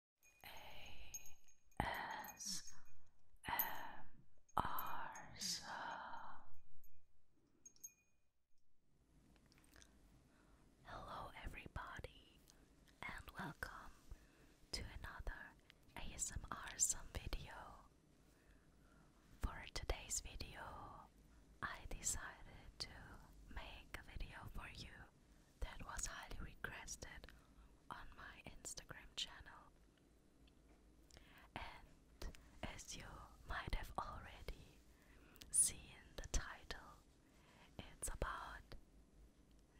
ASMR Hello everybody and welcome to another ASMR some video. For today's video, I decided to make a video for you that was highly requested on my Instagram channel. And as you might have already seen the title, it's about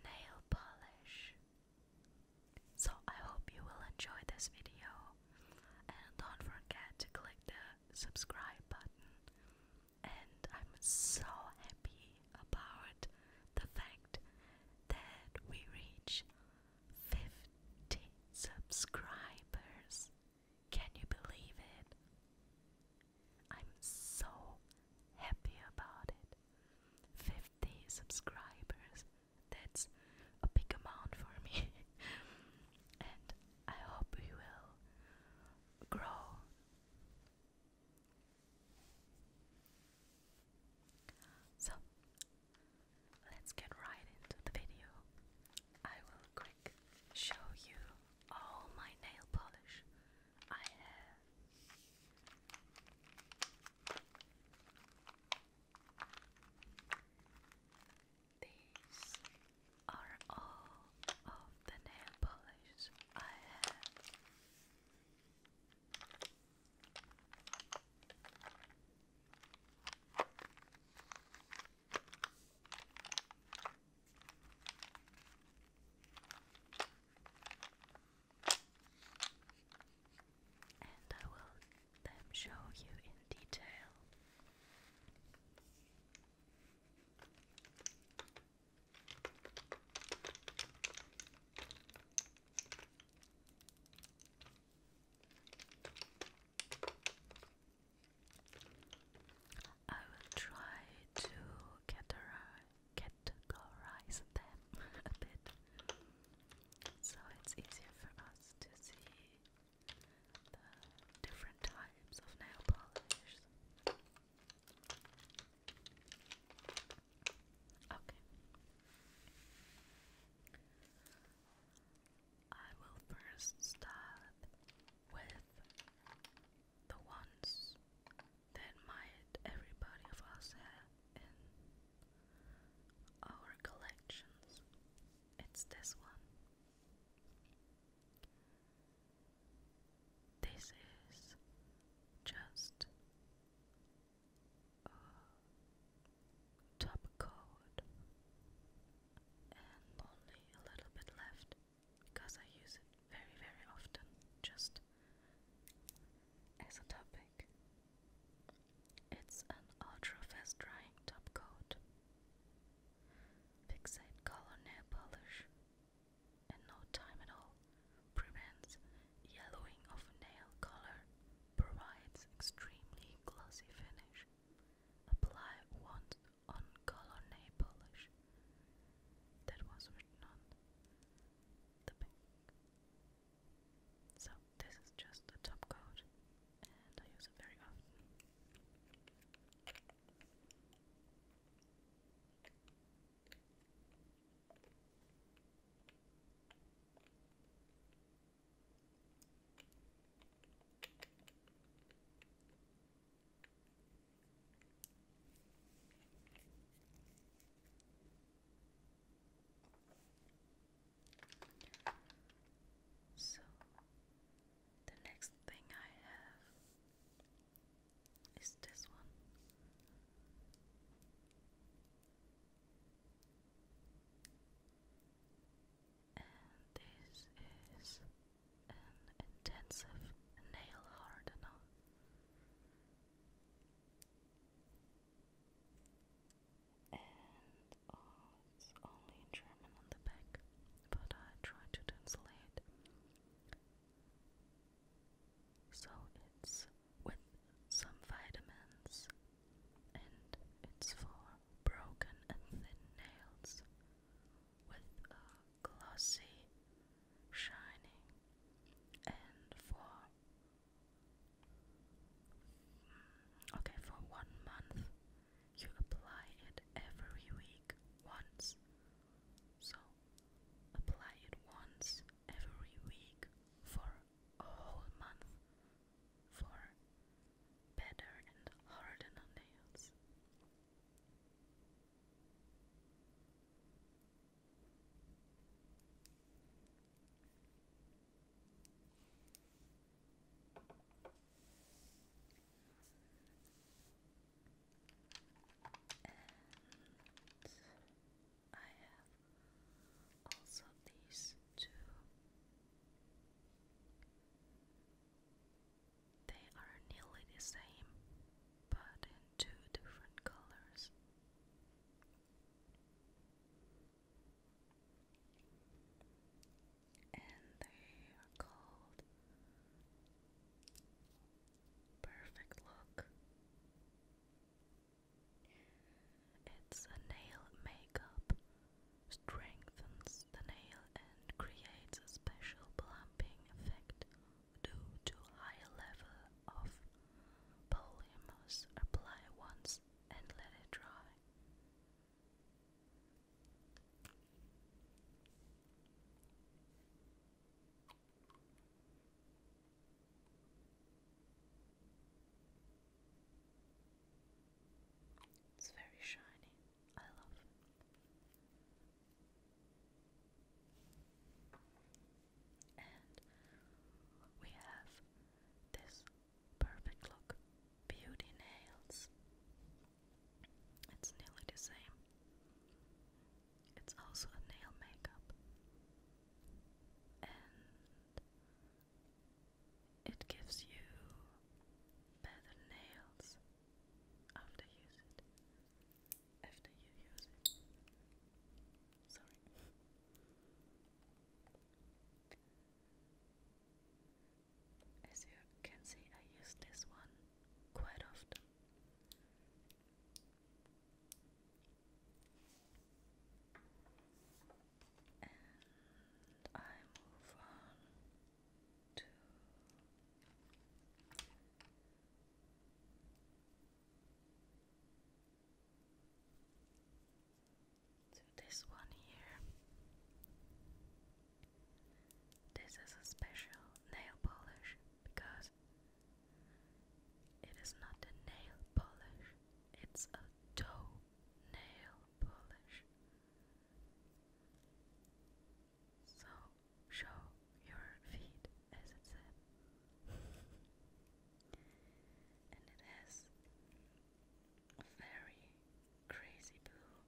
nail polish. So I hope you will enjoy this video and don't forget to click the subscribe button and I'm so happy about the fact that we reach 50 subscribers. Can you believe it? I'm so happy about it. 50 subscribers. That's a big amount for me. and I hope we will grow so, let's get right into the video. I will quick show you all my nail polish I have. These are all of the nail polish I have. And I will then show you in detail. I will try to categorize them a bit so it's easier for us to see the different types of nail polish. Okay. I will first start with the ones that might everybody of us have in our collections. It's this one. This is just a top coat and only a little bit left because I use it very, very often just as a topic. It's an ultra fast drying top coat. Fixate color nail polish and no time at all, prevents yellowing of nail color, provides extremely glossy finish. Apply once on color nail polish. That was written on the pink. So this is just a top coat, and I use it very often. So the next thing I have is this one. And this is an intensive nail hardener. And oh, it's only in German on the back, but I tried to translate. So it's with some vitamins and it's for broken and thin nails with a glossy shining and for mm, okay for one month you apply it every week once so apply it once every week for a whole month for better and harden nails and I have also these two. They are nearly the same, but in two different colors. And they are called perfect look. It's a nail makeup, strengthens the nail and creates a special plumping effect due to high level of polymers. Apply once and let it dry. It's very shiny. I love And we have this perfect look beauty nails. It's nearly the same. It's also a nail makeup. And it gives you better nails after use it. After you use it. Sorry. As you can see, I use this one quite often. And I move on to this one here. This is a special nail polish because it is not a nail polish, it's a toe nail polish. So show your feet, as it said. and it has very crazy blue.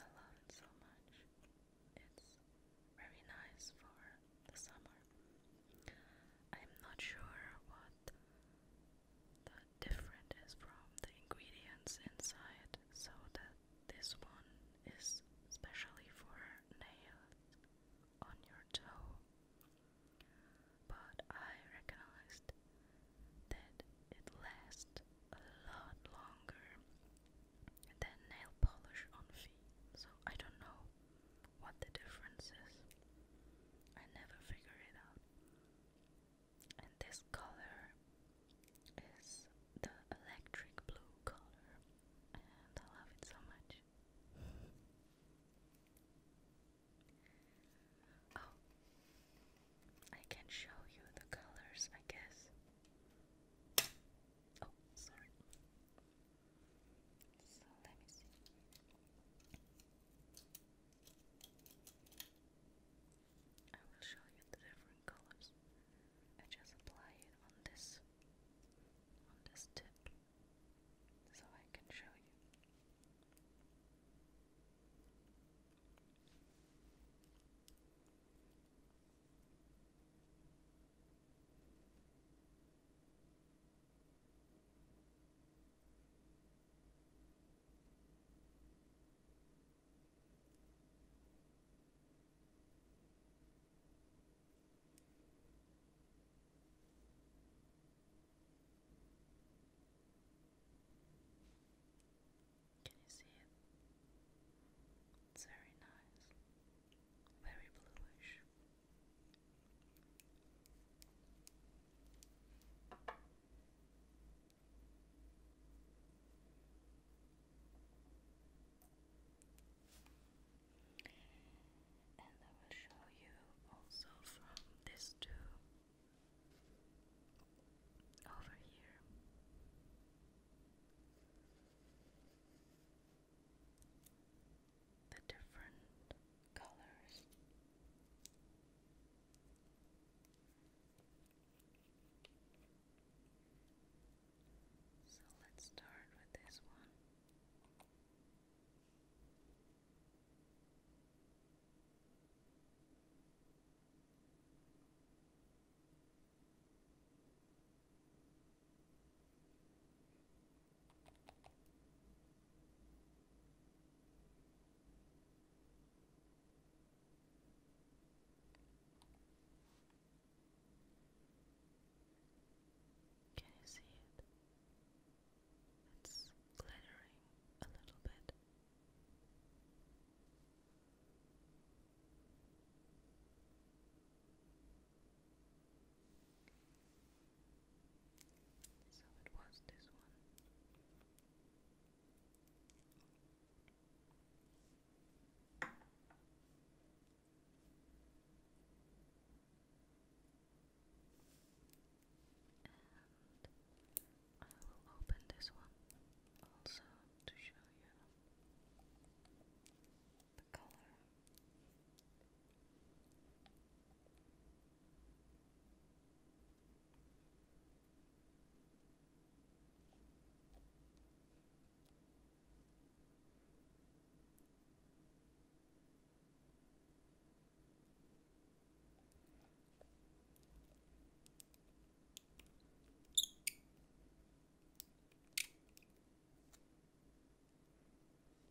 I love it so much. It's very nice for the summer. I'm not sure what the different is from the ingredients inside, so that this one is especially for nails on your toe. But I recognized that it lasts a lot longer than nail polish on feet, so I don't know what the difference is. I never figure it out. And this color is the electric blue color, and I love it so much. oh, I can show you the colors, I guess. Oh, sorry. So let me see. I will show you the different colors. I just apply it on this on this tip so I can show you. Can you see it? It's very nice, very bluish. And I will show you also from this tube over here the different colors. So let's start with this one. Can you see it? It's glittering a little bit. So it was this one. And I will open this one also to show you the color.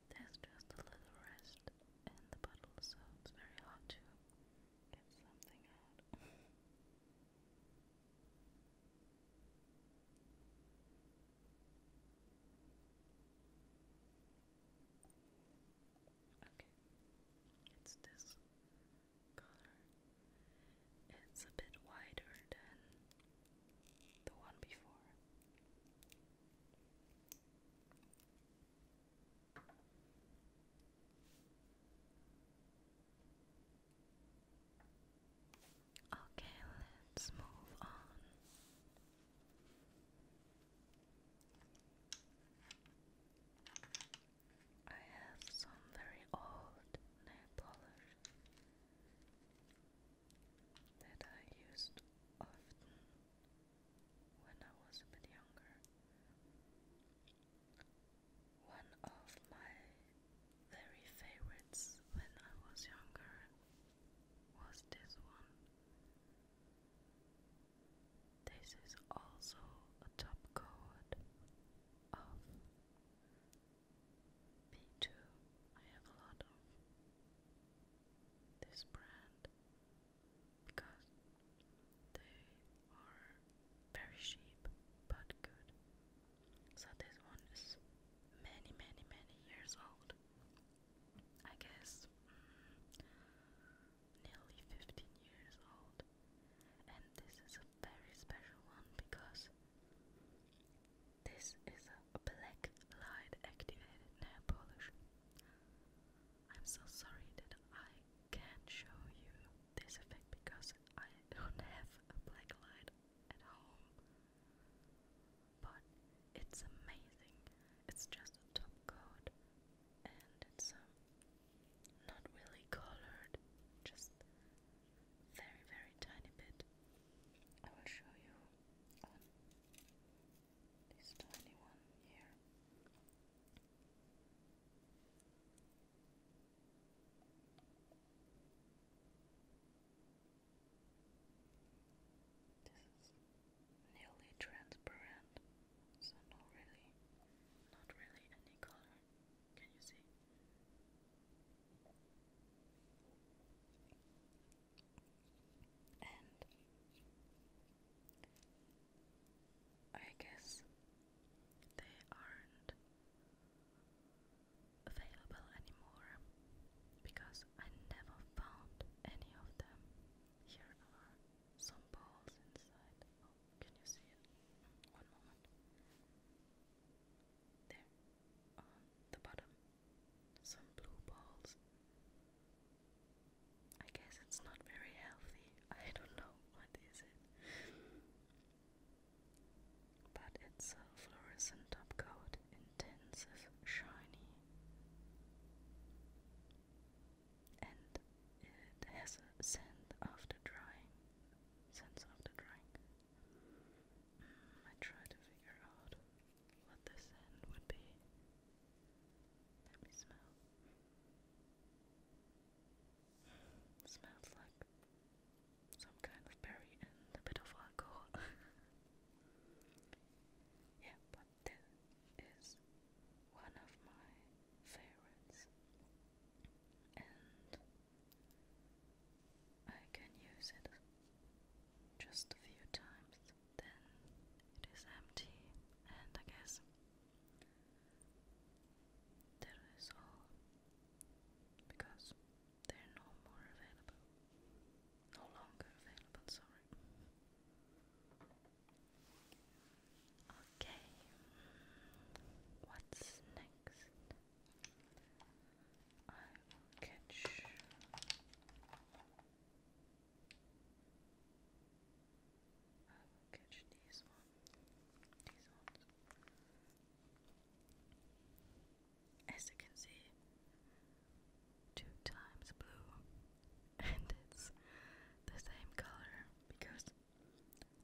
There's just a little rest in the bottle, so it's very hard to get something out. okay, it's this color. It's a bit wider than the one before. Okay, let's move on. I have some very old nail polish that I used often when I was a bit younger. One of my very favorites when I was younger was this one. This is also a top coat of P 2 I have a lot of this brand because they are very cheap but good. So this one is many many many years old. I guess mm, nearly 15 years old. And this is a very special one because this is a black light activated nail polish. I'm so sorry that I can't show you this effect because I don't have a black light at home. But it's amazing. It's just a top coat and it's not really colored, just very, very tiny bit. I will show you this tiny one here. This is nearly transparent, so not really, not really any color. Can you see? And I guess they aren't available anymore because I never found any of them. Here are some balls inside. Oh, can you see it? Mm, one moment. There on the bottom. Some blue balls. I guess it's not very healthy. I don't know what is it. But it's a fluorescent top coat, intensive, shiny. And it has a scent after drying. Sense after drying. I tried to figure out what this end would be. Let me smell. smells like some kind of berry and a bit of alcohol. yeah, but this is one of my favorites. And I can use it just a few times, then it is empty, and I guess that is all because they're no more available, no longer available. Sorry. Okay, what's next? I will catch. I will catch these one, these ones. As you can see, two times blue, and it's the same color because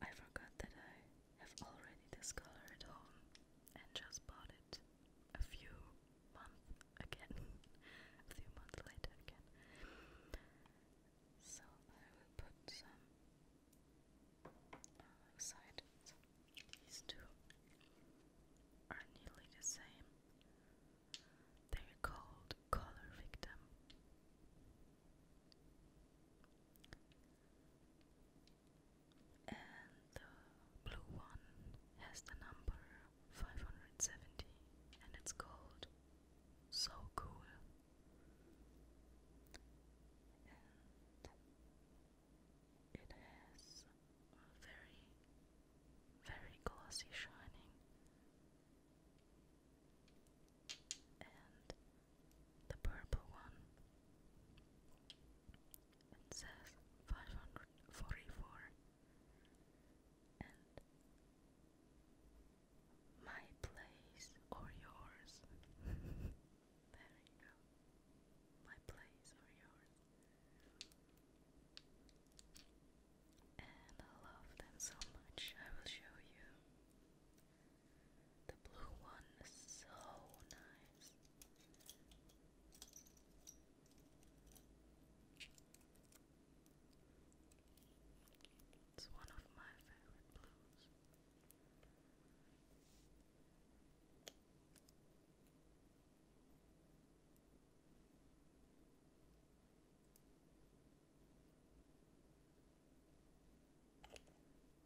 I forgot that I have already discovered at home and just bought it a few months again, a few months later again. So I will put some aside. these two are nearly the same. They're called color victim and the blue one has the number 570 and it's called So Cool. And it has a very, very glossy shining. And the purple one. It says 544 and my place or yours. there you go. My place or yours. And I love them so much. I will show you. The blue one is so nice. It's one of my favorite blues.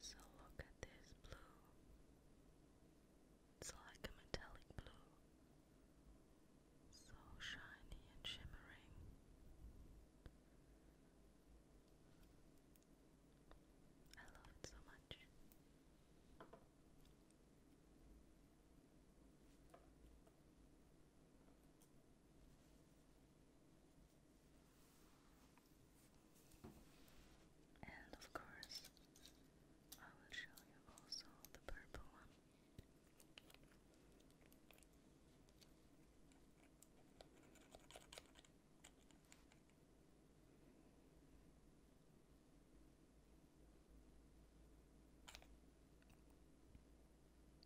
So look at this blue. It's like a metallic blue. So shiny and shimmering. I love it so much. And of course, I will show you also the purple one.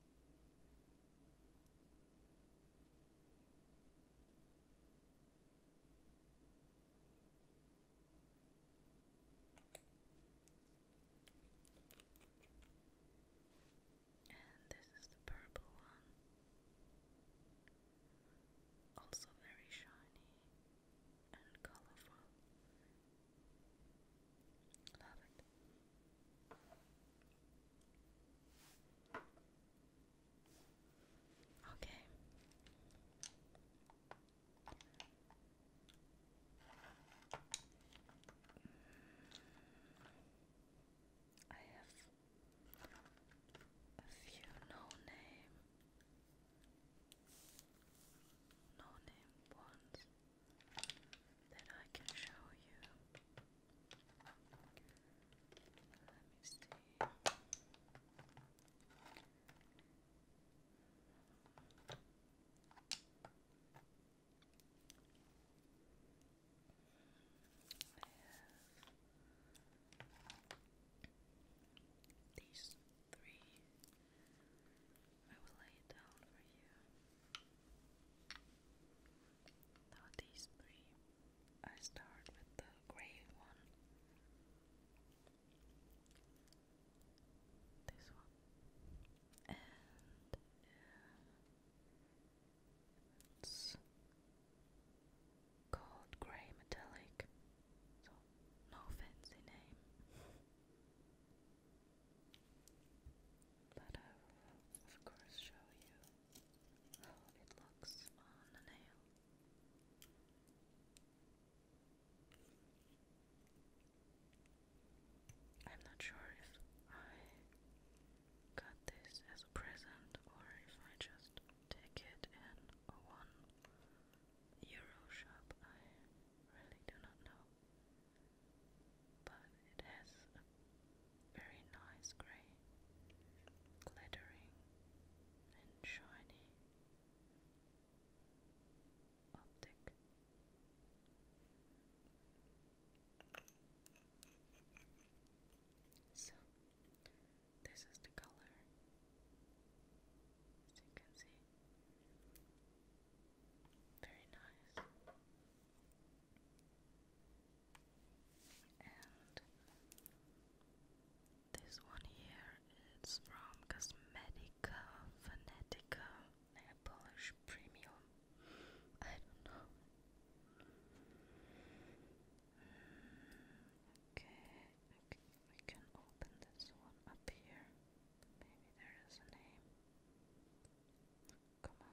And this is the purple one, also very shiny and colorful Love it. Okay. I have a few no name, no name ones that I can show you. Let me see. I have these three I will lay it down for you. Now these three. I start with the grey one. This one. And uh, it's called grey metallic. So no fancy name. But I of course, show you how it looks on the nail. I'm not sure if I got this as a present or if I just take it in a one euro shop. I really do not know but it has a very nice grey, glittering and shiny optic. So, this is the color, as you can see. Very nice. And this one here is from Cosmetica Venetica, polish premium. I don't know. Mm, okay, okay, we can open this one up here. Maybe there is a name. Come on.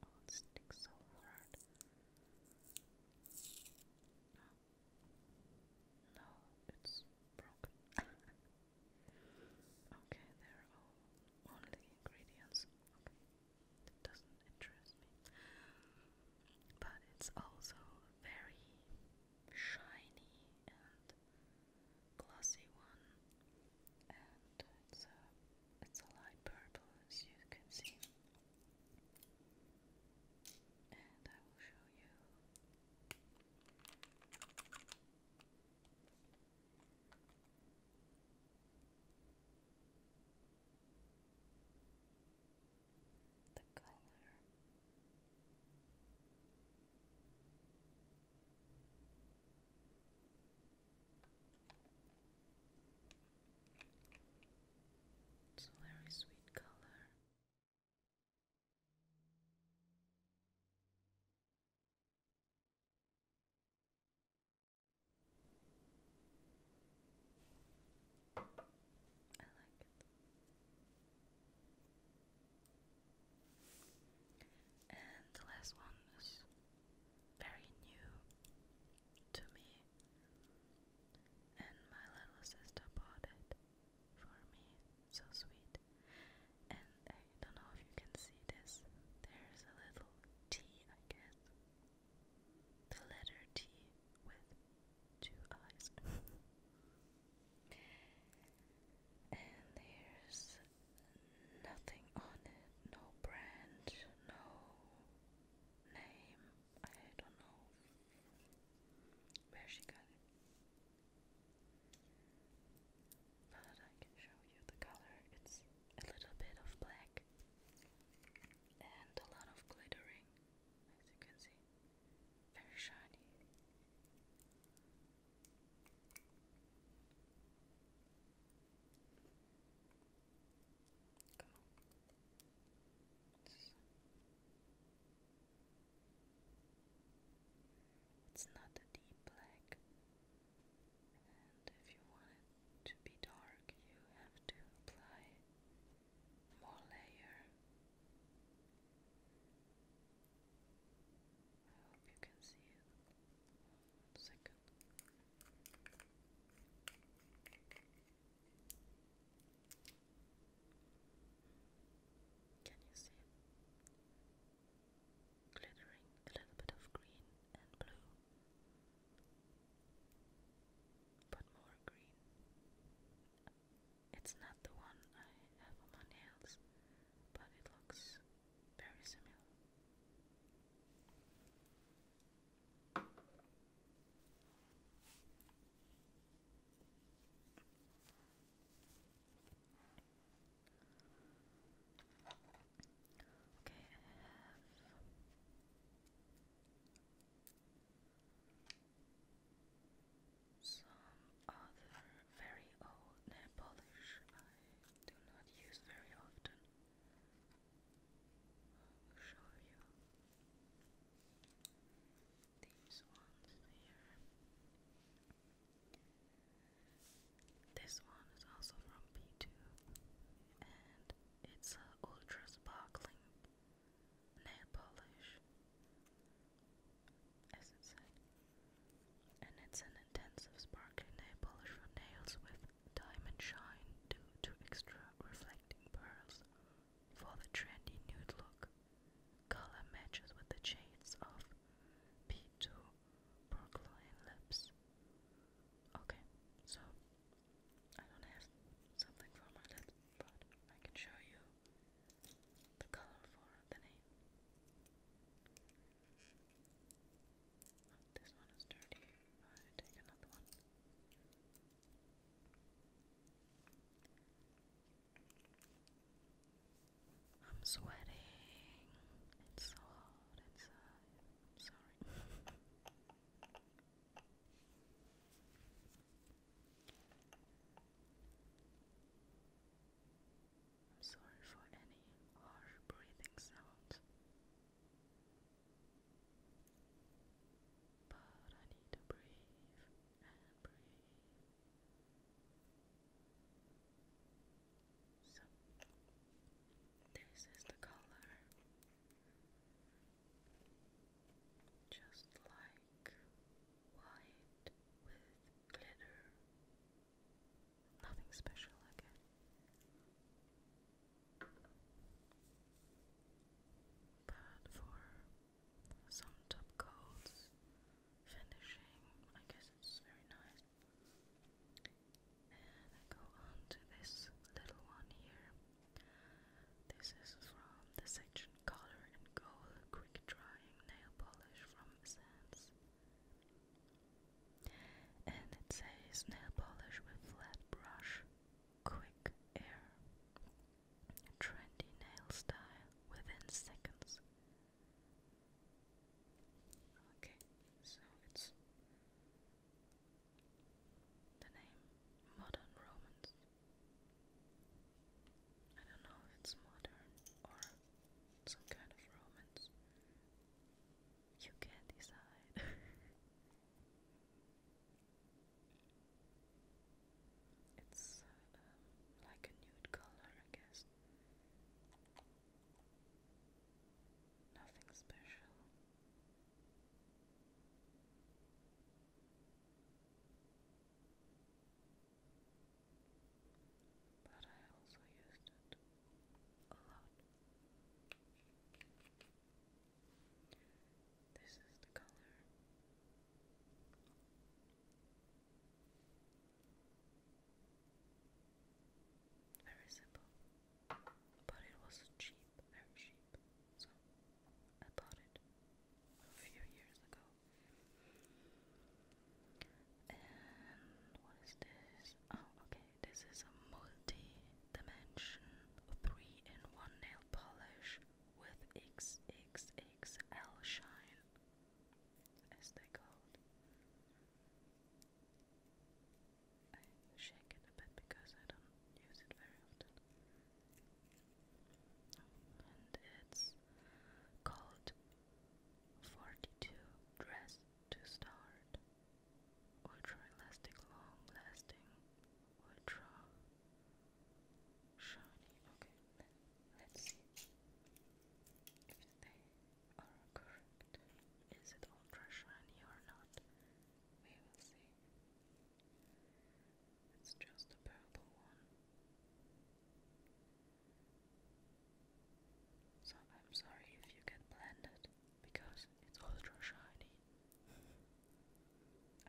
Oh, it sticks so hard. No. it's broken. okay, they're all only ingredients. It doesn't interest me. But it's also very shiny and glossy one, and it's a it's a light purple, as you can see. And I will show you. The color. It's a very sweet color. I like it. And the last one is very new to me, and my little sister bought it for me. So sweet. And I don't know if you can see this. There's a little T, I guess. The letter T with two eyes. and there's nothing on it, no brand, no name. I don't know where she got it. But I can show you the color. It's a little bit of black and a lot of glittering, as you can see. Very shiny. Come It's not a deep black, and if you want it to be dark, you have to apply more layer. I hope you can see it. One second. Can you see it? Glittering a little bit of green and blue, but more green. It's not the one I have on my nails but it looks very similar. Okay, I have some other very old nail polish I do not use very often. I will show you these ones here. This one is also from P2 and it's a ultra sparkling nail polish as it said and it's an intensive sparkling nail polish for nails with diamond shine due to extra reflecting pearls for the trendy nude look. Color matches with the shades of P2 Brooklyn Lips. Okay, so I don't have something for my lips, but I can show you the color for the name. This one is dirty. I take another one. I'm sweating. It's so hot inside. I'm sorry. I'm sorry for any harsh breathing sounds. But I need to breathe and breathe. So, this is the color. Just like white with glitter. Nothing special again. But for some top coats, finishing, I guess it's very nice. And I go on to this little one here. This is from the section Color and Gold Quick Drying Nail Polish from Essence. And it says nail polish with flat brush, quick air, trendy nail style within seconds. Okay, so it's the name Modern Romans. I don't know if it's modern or some kind of romance. You can decide. it's um, like a nude color, I guess. Nothing special. But I also used it a lot. This is the color. Very simple. But it was cheap, very cheap. So I bought it a few years ago. And what is this? Oh, okay, this is a multi dimensional 3 3-in-1 nail polish with XXXL shine, as they called. I shake it a bit because I don't use it very often. Oh, and it's called 42 dress to start ultra elastic long lasting ultra shiny okay let, us see if they are correct is it ultra shiny or not we will see it's just a purple one so I'm sorry if you get blended because it's ultra shiny.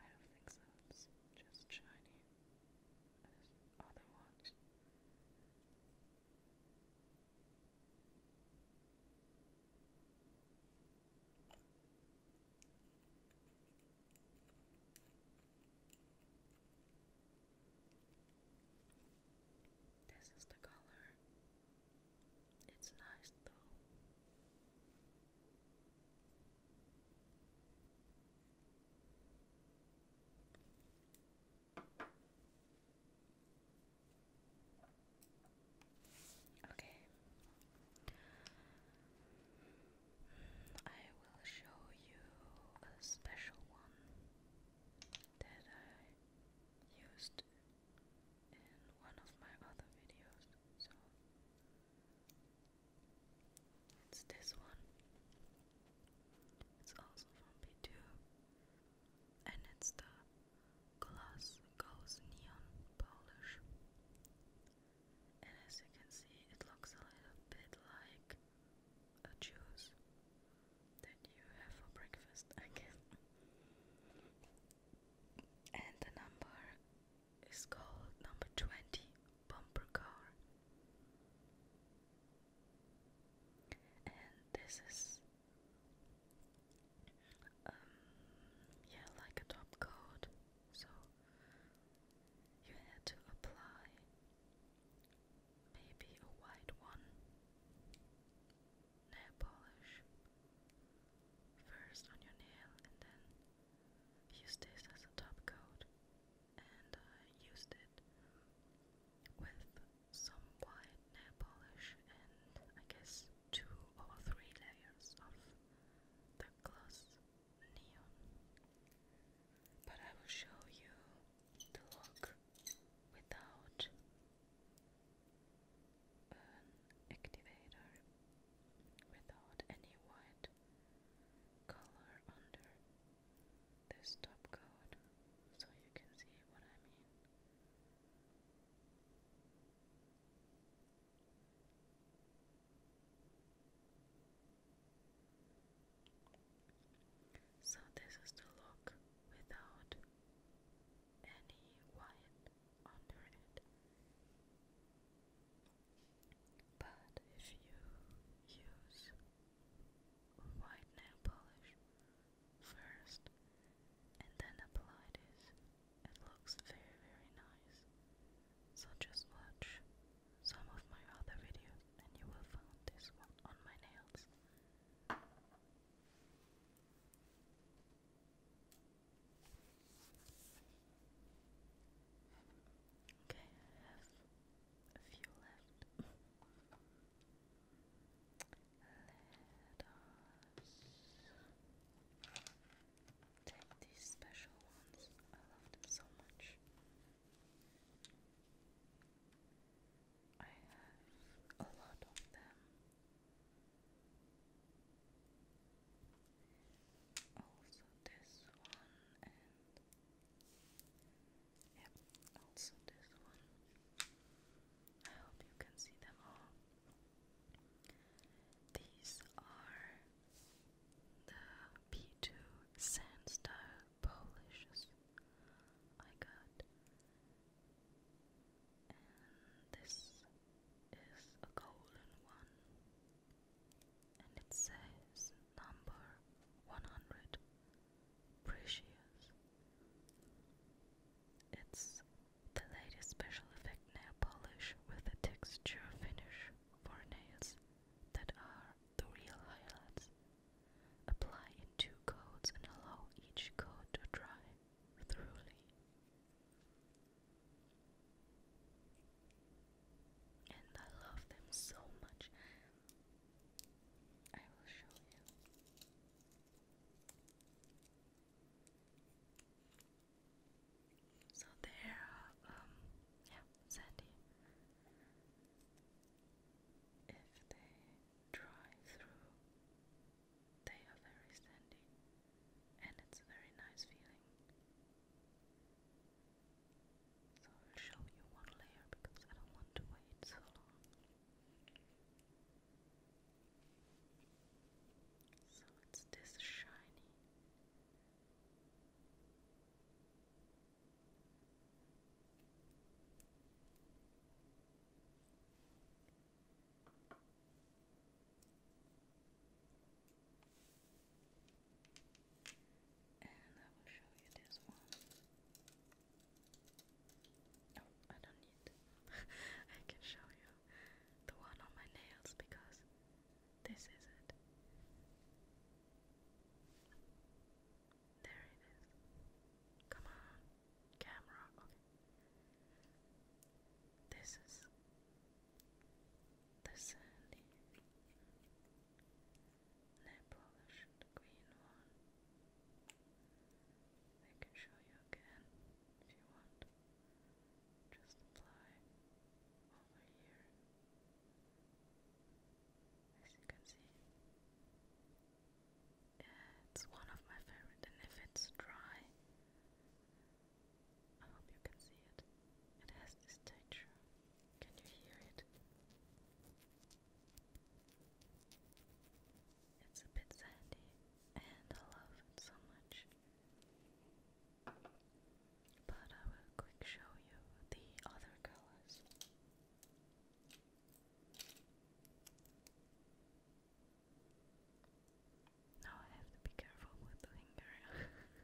I don't think so, it's just shiny as other ones. This is the color. It's nice though. Okay. I will show you a special one that I used in one of my other videos. So it's this one. It's also from B2 and it's the glass Goes Neon Polish. And as you can see, it looks a little bit like a juice that you have for breakfast, I And the number is called number 20 bumper car. And this is um yeah, like a top coat. So you had to apply maybe a white one. Nail polish. First on your nail, and then use this as a top coat. And used it with some white nail polish and I guess two or three layers of the gloss neon. But I will show you to walk without an activator, without any white color under the stop code, so you can see what I mean. So this is the look without any white under it. But if you use white nail polish first and then apply this, it looks very very nice. So just watch some of my other videos and you will find this one on my nails. Okay, I have a few left. Let us take these special ones. I love them so much. I have a lot of them. Also this one and yep, also this one. I hope you can see them all. These are the P2 sand style polishes I got. And this is a golden one. And it says number 100 Precious. It's the latest special effect nail polish with a texture finish for nails that are the real highlights Apply in two coats and allow each coat to dry thoroughly. And I love them so much. I will show you. So there, um, yeah, Sandy. If they dry through. They are very sandy, and it's a very nice feeling. So I'll show you one layer because I don't want to wait so long. So it's this shiny. And I will show you this one. Oh, I don't need. I can show you the one on my nails because this is it. There it is. Come on, camera. Okay. This is the sandy, nail-polished green one. I can show you again if you want. Just apply over here. As you can see, it's one of my favorite, and if it's dry, I hope you can see it. It has this texture. Can you hear it? It's a bit sandy, and I love it so much. But I will quick show you the other colors. Now I have to be careful with the finger.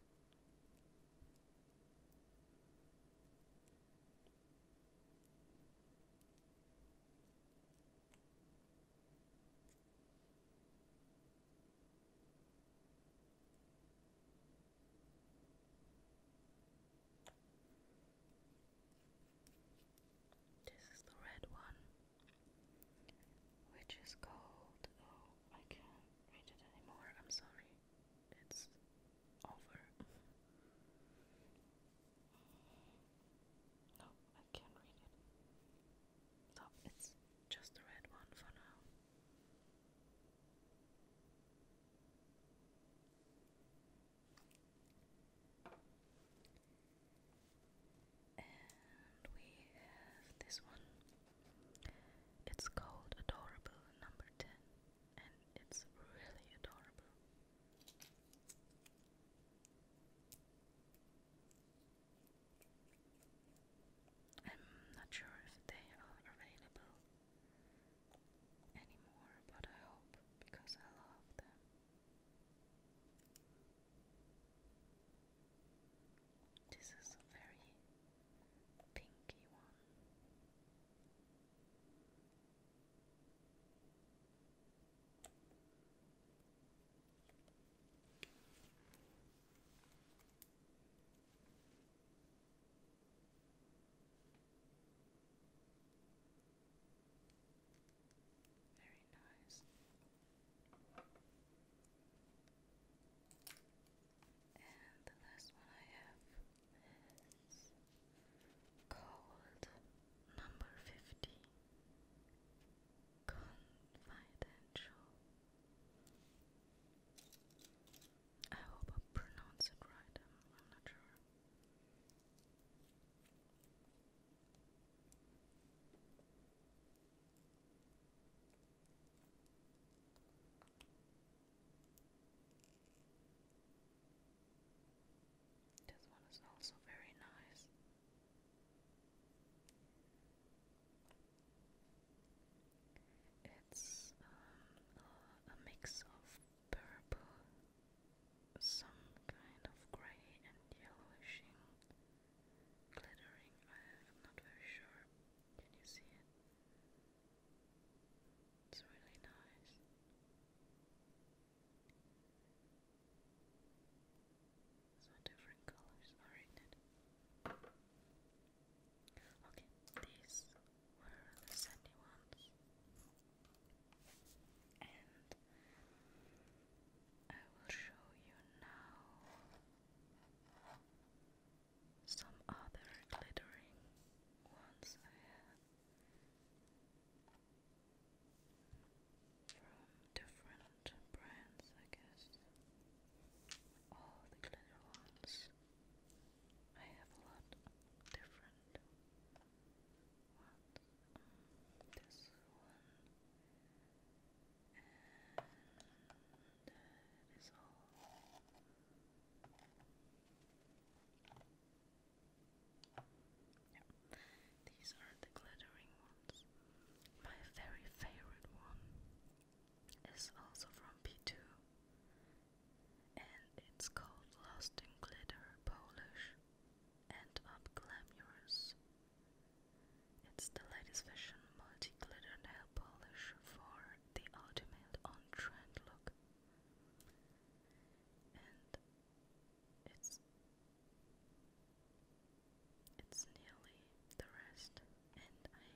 This is the red one, which is called. Oh, I can't read it anymore. I'm sorry. It's over. no, I can't read it. No, it's just the red one for now. And we have this one. It's called Adorable Number 10, and it's really adorable. I'm not sure if they are available anymore, but I hope because I love them. This is a very pinky one. Very nice. And the last one I have is called number 50 Confidential. I hope I pronounce it right, I'm, not sure. This one is also very nice. It's um, a mix of purple some kind of grey and yellowish, glittering. I'm not very sure. Can you see it? It's really nice. So different colors are in it. Okay, these were the sandy ones and I will show you now some other glittering ones I have from different brands, I guess. All the glitter ones. I have a lot different um, this These are the glittering ones. My very favorite one is also from P2 and it's called Lost in Glitter Polish and Up Glamorous. It's the latest fashion multi-glitter nail polish for the ultimate on-trend look. And it's it's nearly the rest and I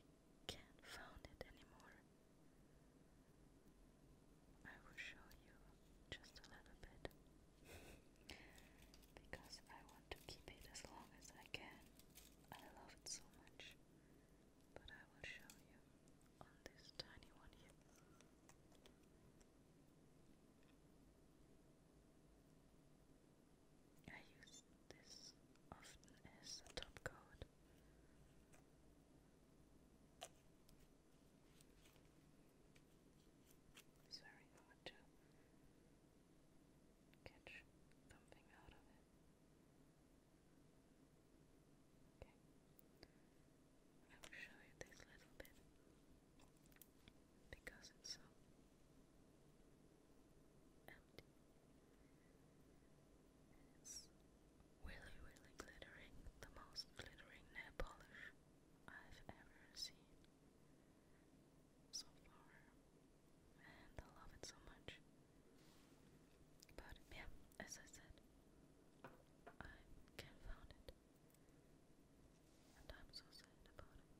can't find it anymore. I will show you just a little bit because I want to keep it as long as I can. I love it so much. But I will show you on this tiny one here. I use this often as a top coat. It's very hard to catch something out of it. Okay. I will show you this little bit because it's so empty really, really glittering, the most glittering nail polish I've ever seen so far, and I love it so much. But yeah, as I said, I can't find it, and I'm so sad about it.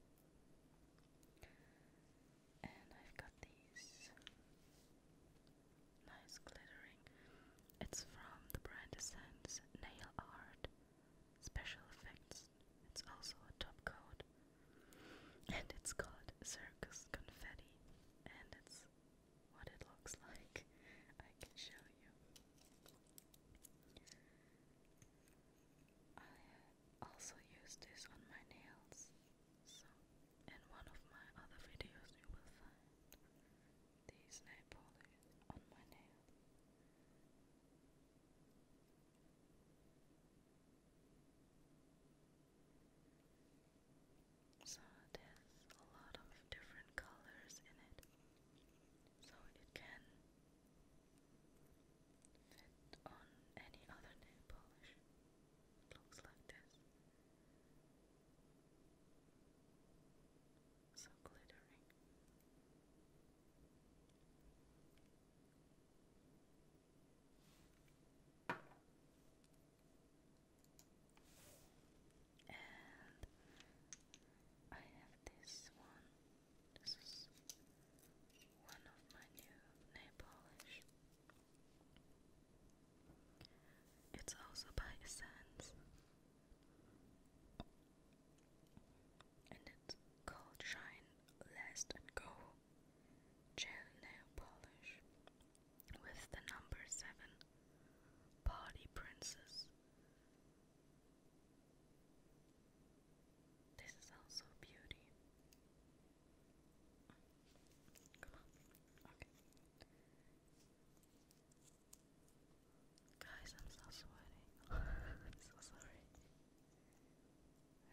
And I've got these Nice glittering. It's from the brand Essence Nail Art Special Effects. It's also a top coat. And it's called Circus Confetti. And it's what it looks like. I can show you. I also use this on my nails. So, in one of my other videos, you will find there's no polish on my nail. So there's a lot of different colors in it. So it can fit on any other nail polish. looks like this. So glittering. And I have this one. This is one of my new nail polish. It's also by Essence. And it's called Shine Last Go Gel Nail Polish with the number 7 Party Princess. This is also beauty. Guys, I'm so sweating. I'm so sorry.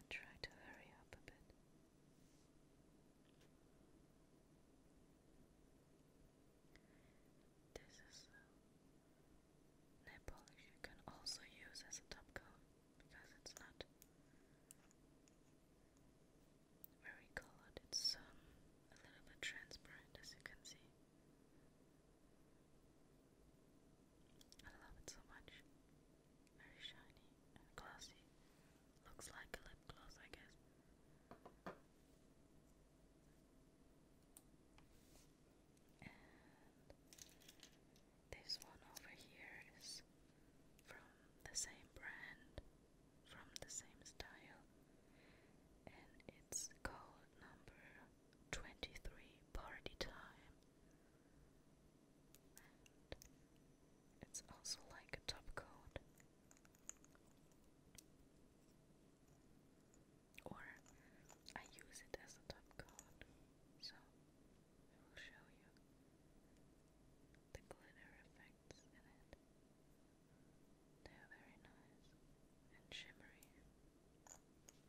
I try to hurry up a bit. This is nail polish you can also use as a top coat because it's not very colored. It's um, a little bit transparent, as you can see. I love it so much. Very shiny and glossy. Looks like a lip gloss, I guess. this one over here is from the same brand from the same style, and it's called number 23 Party Time. And it's also like a top coat or I use it as a top coat so I will show you the glitter effects in it they are very nice and shimmery. So there we go. So you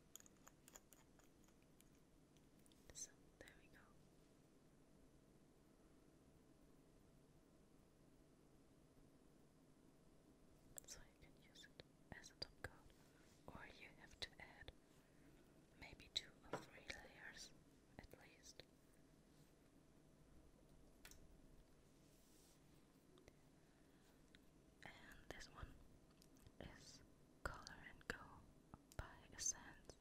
can use it as a top coat, or you have to add maybe two or three layers at least and this one is Color and Go by Essence.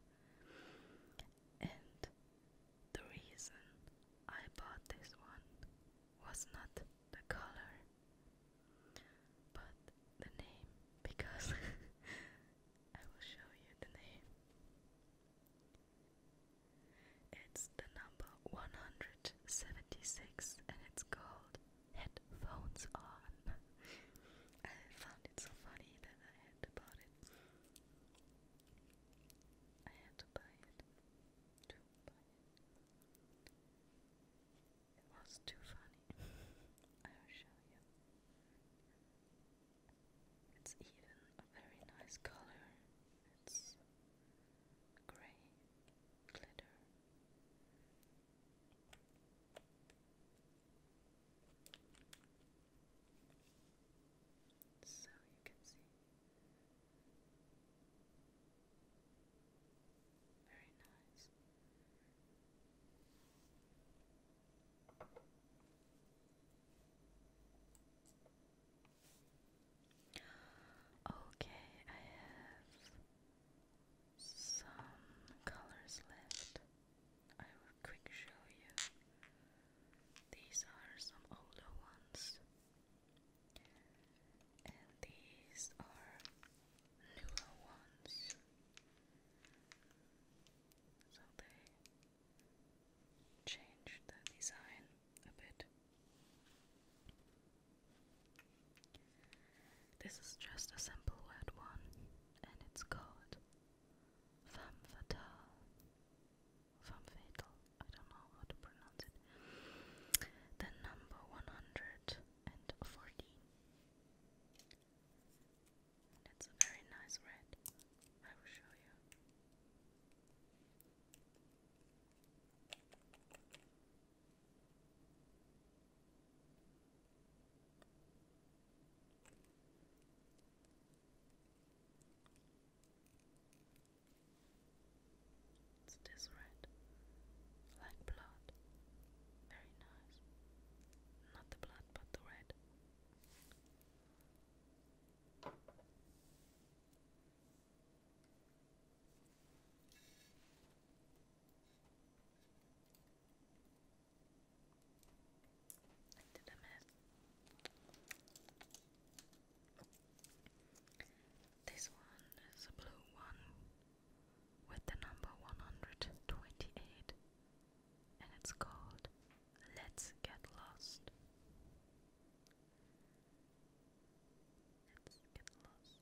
And the reason I bought this one was not the color, but the name, because I will show you the name. It's the number 176 and it's called Headphones On. I found it so funny that I had to buy it. I had to buy it. To buy it. It was too funny. I'll show you. It's even a very nice color. It's grey glitter. So you can see very nice. Okay, I have some colors left. I will quick show you. These are some older ones. And these are newer ones. So they changed the design a bit. This is just a simple word one, and it's called femme fatale. Femme fatal. I don't know how to pronounce it. The number one hundred and fourteen. And a very nice red. I will show you. It's this red, like blood. Very nice. Not the blood, but the red. I did This one is a blue one with the number 128 and it's called Let's Get Lost. Let's get lost.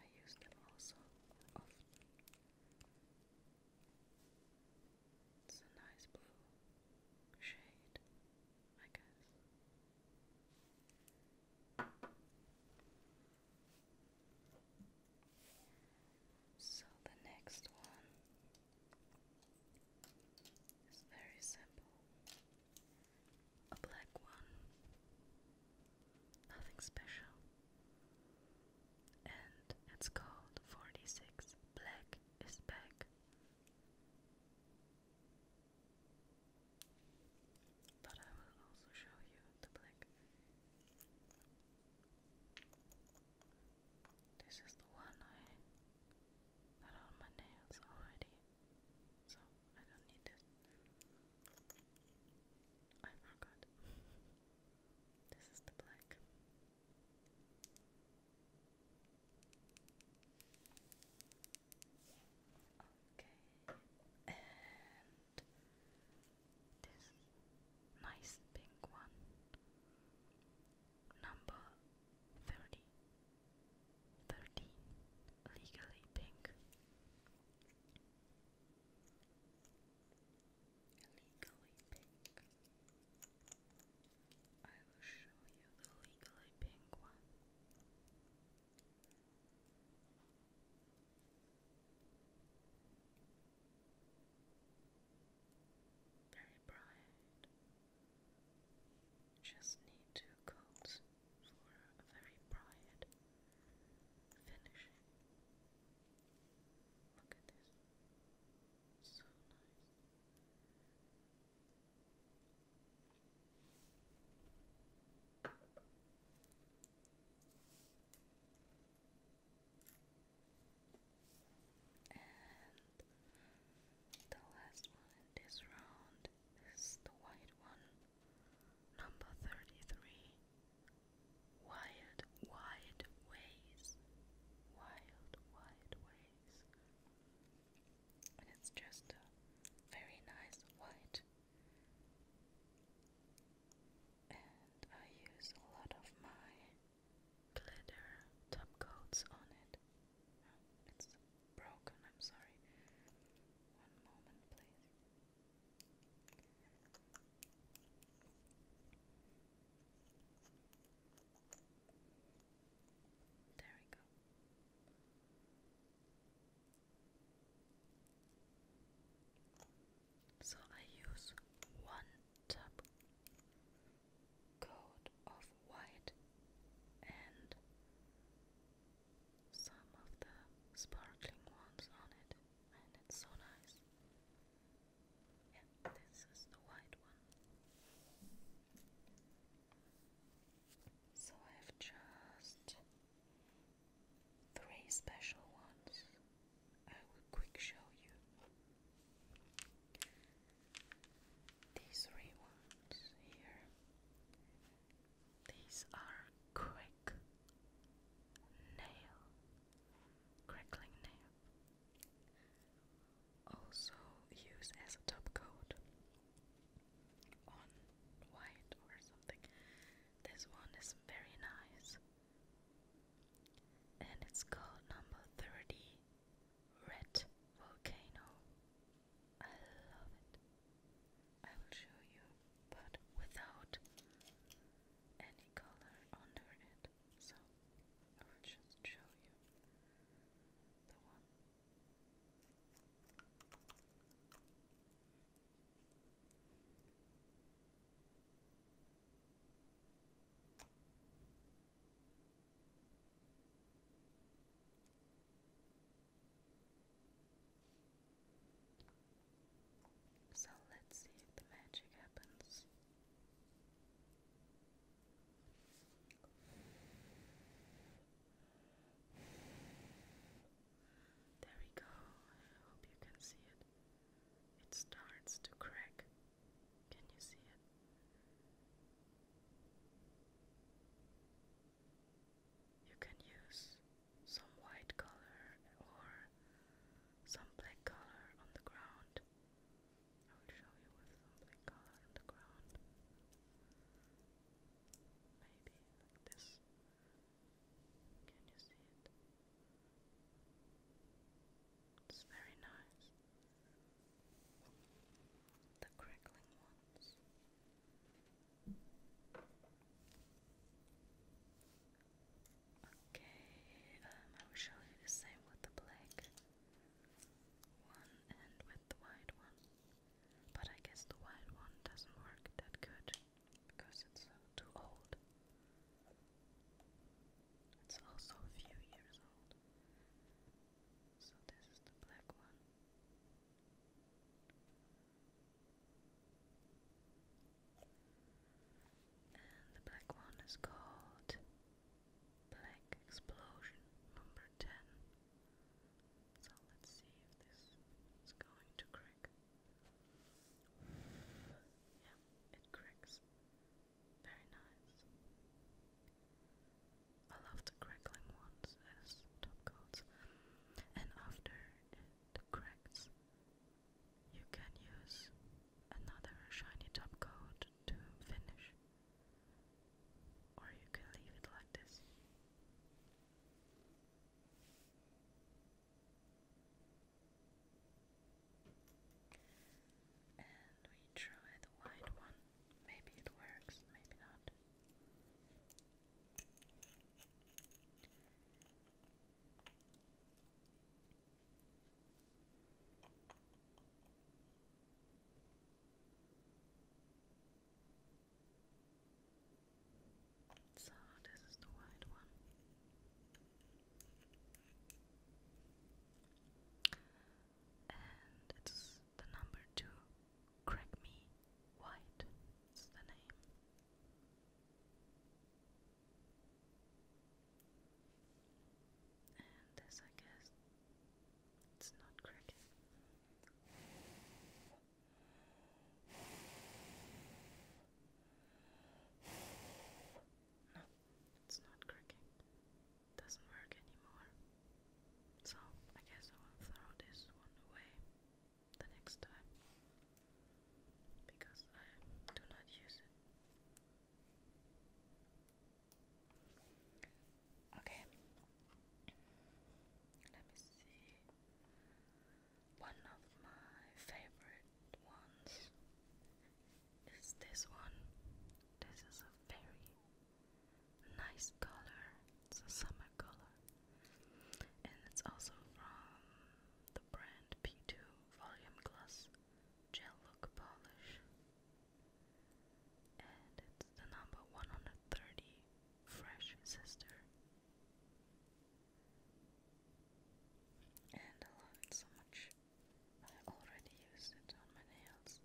I use them also often. It's a nice blue shade, I guess. So the next one is very simple. A black one. Nothing special. And it's called 46 Black is Back. But I will also show you the black. This is the one I got on my nails already, so I don't need this. I forgot. This is the black. Okay, and this nice pink one, number 30, legally pink. Legally pink. I will show you the legally pink one. Very bright. Just need two coats for a very bright finishing. Look at this. So nice. And the last one in this round is the white one, number 33. Wild, wide ways. Wild, wide ways it's just very nice white. And I use a lot of my glitter top coats on it. Oh, it's broken, I'm sorry. One moment, please. There we go. So I use one top coat of white and some of the sparkling ones on it, and it's so nice. Yeah, this is the white one. So I have just three special ones I will quick show you. These three ones here. These are quick nail, crackling nail also use as a top coat on white or something. This one is very nice. And it's called number 30 Red Volcano. I love it. I will show you, but without any color under it. So I will just show you the one. So let's see if the magic happens. There we go. I hope you can see it. It starts to crack. Can you see it? You can use some white color or some black color on the ground I will show you with something colored on the ground. Maybe this. Can you see it? It's very nice. The crackling ones. Okay, um, I will show you the same with the black one and with the wide one. But I guess the wide one doesn't work that good because it's too old. It's also a few years old. So this is the black one. And the black one is called Black Explosion number 10. So let's see if this is going to crack. Yeah, it cracks. Very nice. I love the crackling ones as top coats. And after it cracks, you can use another shiny top coat to finish. Or you can leave it like this. And we try the white one. Maybe it works, maybe not. So this is the white one. And it's the number two. Crack me white is the name. And this I guess it's not cricket. No, it's not cracking. doesn't work anymore. So I guess I will throw this one away the next time because I do not use it. Okay. Let me see. One of my favorite ones is this one. This is a very nice color. It's a summer color. And it's also from the brand P2 Volume Gloss Gel Look Polish and it's the number 130 Fresh Sister. And I love it so much. I already used it on my nails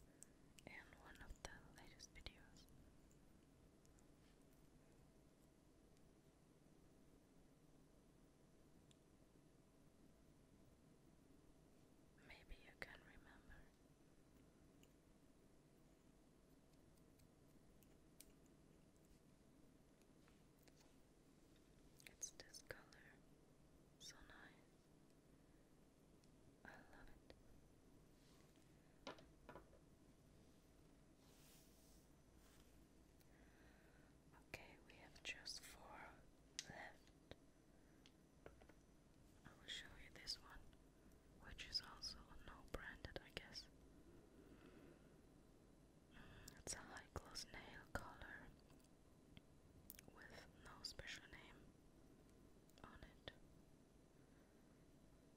in one of the latest videos. Maybe you can remember. It's this color, so nice. I love it. Okay, we have just four left. I will show you this one, which is also no-branded, I guess. Mm, it's a high-gloss nail color with no special name on it.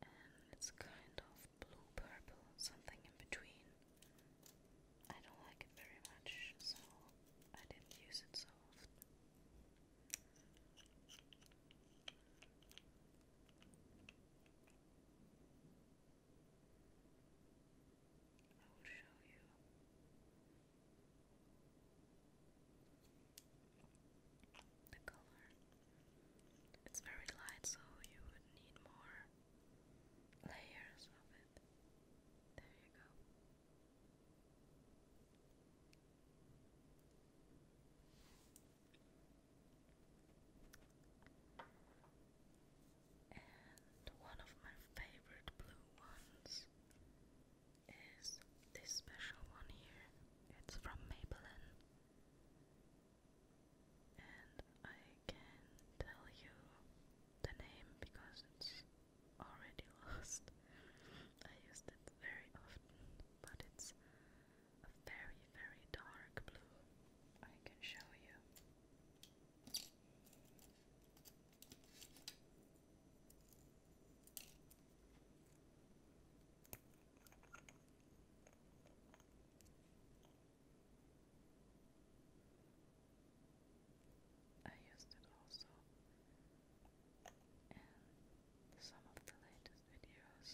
And it's kind of blue-purple, something in between. I don't like it very much, so I didn't use it so often. I will show you. The color. It's very light, so you would need more layers of it. There you go. And one of my favorite blue ones is this special one here. It's from Maybelline. And I can tell you the name because it's already lost. I used it very often, but it's a very, very dark blue. I can show you. I used it also and some of the latest videos.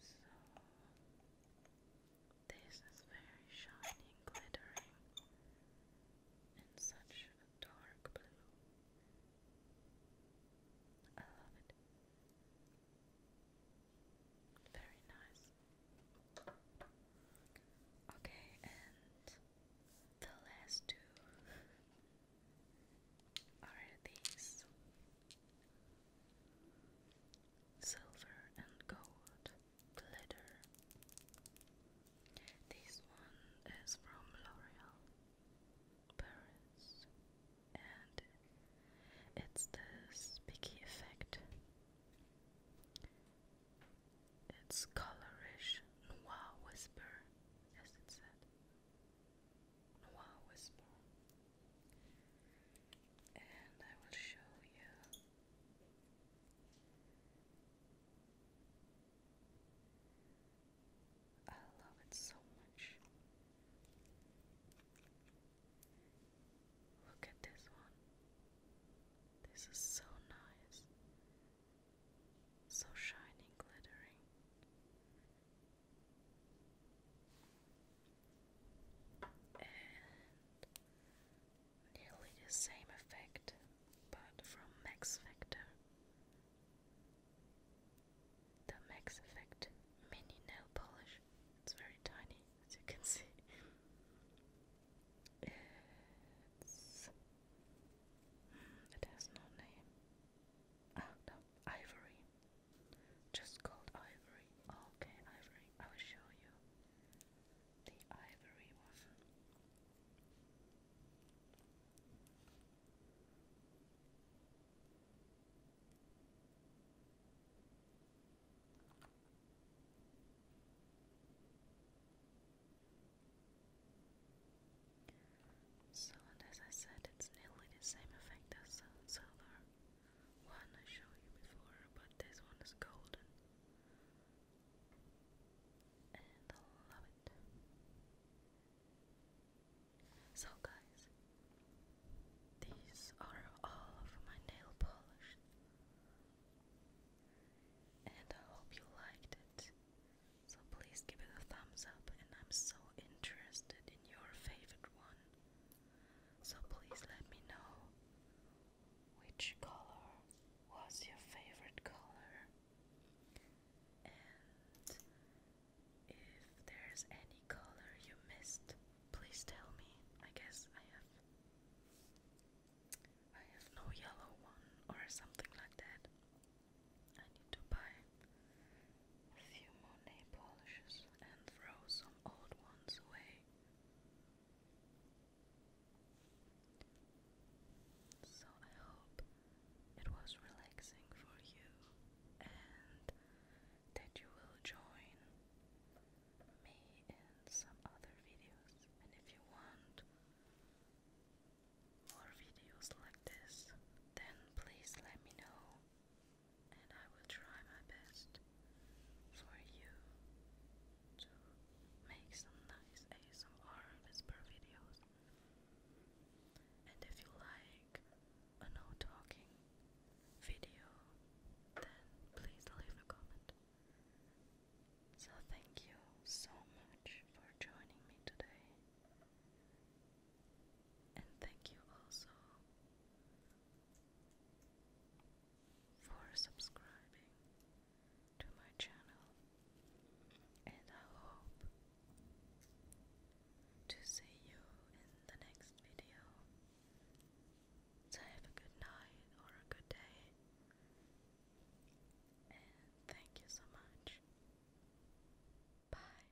So this is very shining, and glittering and such a dark blue. I love it. Very nice. Okay, and the last two are these silver and gold glitter. This one is from L'Oreal Paris and it's the Speaky effect. It's colorish noir whisper, as it said. Noir whisper. And I will show you I love it so much. Look at this one. This is so nice. So shiny, glittering. And nearly the same effect, but from max factor. The max effect mini nail polish. It's very tiny, as you can see. Hmm, it has no name. Oh no, ivory. Just called ivory. Okay, ivory. I will show you the ivory one. So, as I said, it's nearly the same effect as uh, silver one I showed you before, but this one is golden. And I love it. So guys, these are all of my nail polish. And I hope you liked it. So please give it a thumbs up and I'm so interested in your favorite one. So please let me know which color was your favorite color? And if there's any color you missed, please tell me. I guess I have I have no yellow one or something like that. I need to buy a few more nail polishes and throw some old ones away. So I hope it was relaxing for you and that you will join me in some other videos. And if you want more videos like this, then please let me know and I will try my best for you to make some nice ASMR whisper videos. And if you like a no talking video, then please leave a comment. So, thank you so much for joining me today, and thank you also for subscribing to my channel, and I hope to see you in the next video. So, have a good night or a good day, and thank you so much. Bye.